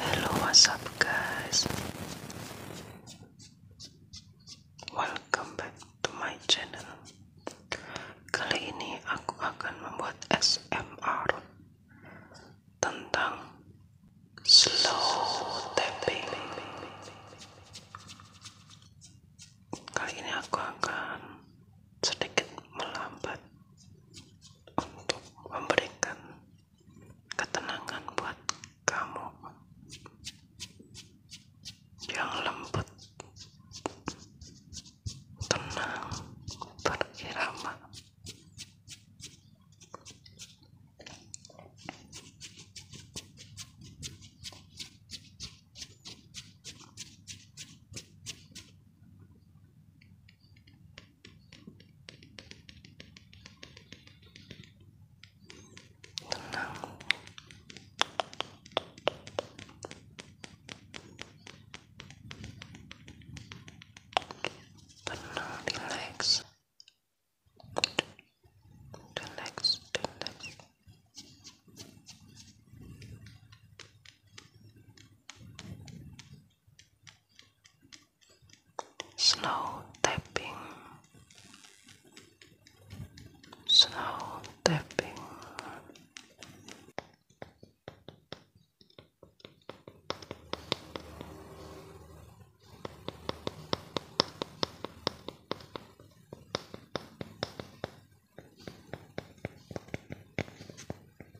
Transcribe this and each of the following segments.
Hello, what's up, guys? Welcome back to my channel. Kali ini aku akan membuat SMR tentang slow tapping. Kali ini aku akan sedikit melambat untuk memberikan ketenangan buat kamu yang lembut tenang berirama tenang tenang relax relax relax slow tapping, slow tapping.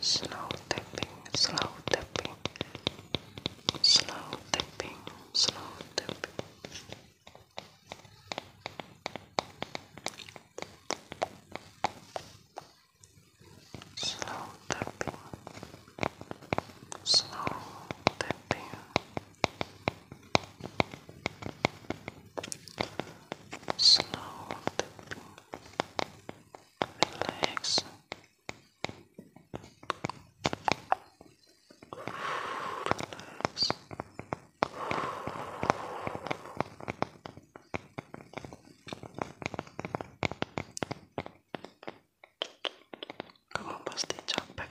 Slow tapping, slow tapping, slow tapping, slow tapping. Slow tapping, slow tapping, slow, relax. Come on, Basti, jump back.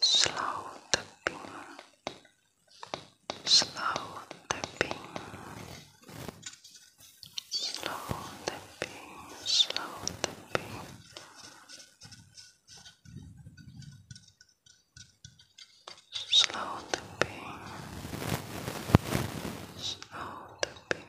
slow tapping, slow tapping, slow tapping, slow tapping. Slow tapping, slow tapping,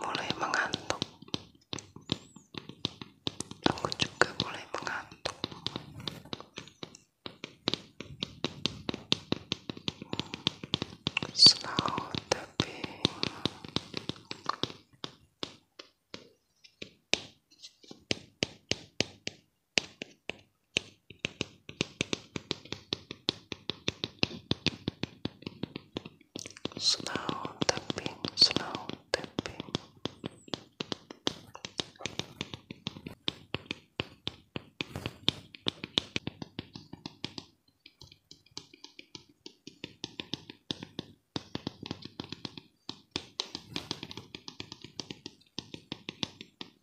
mulai mengantuk aku juga mulai mengantuk slow tapping Slow tapping, slow tapping.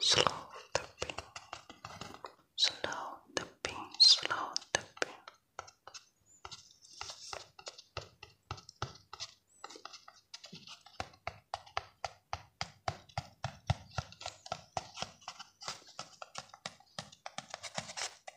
Slow tapping, slow tapping, slow tapping.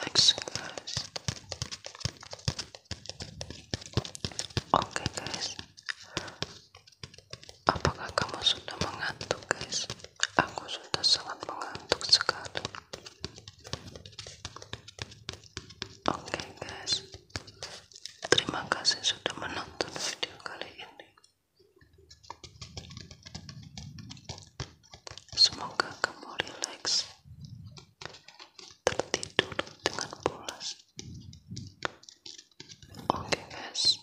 Like so nice. Okay guys, Apakah kamu sudah mengantuk, guys? Aku sudah sangat mengantuk sekali. Oke, guys. Terima kasih sudah menonton video kali ini. Semoga kamu rileks tertidur dengan pulas. Oke, guys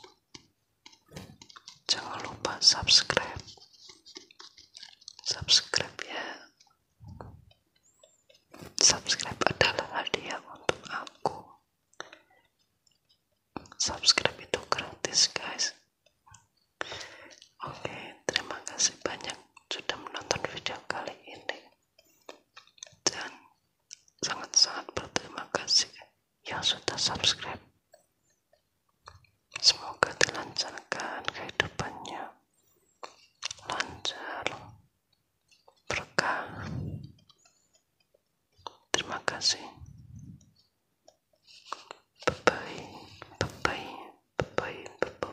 jangan lupa subscribe subscribe ya subscribe adalah hadiah untuk aku subscribe itu gratis guys oke terima kasih banyak sudah menonton video kali ini dan sangat-sangat berterima kasih yang sudah subscribe. Semoga dilancarkan kehidupannya. Lancar. Berkah. Terima kasih. Bye-bye. Bye-bye.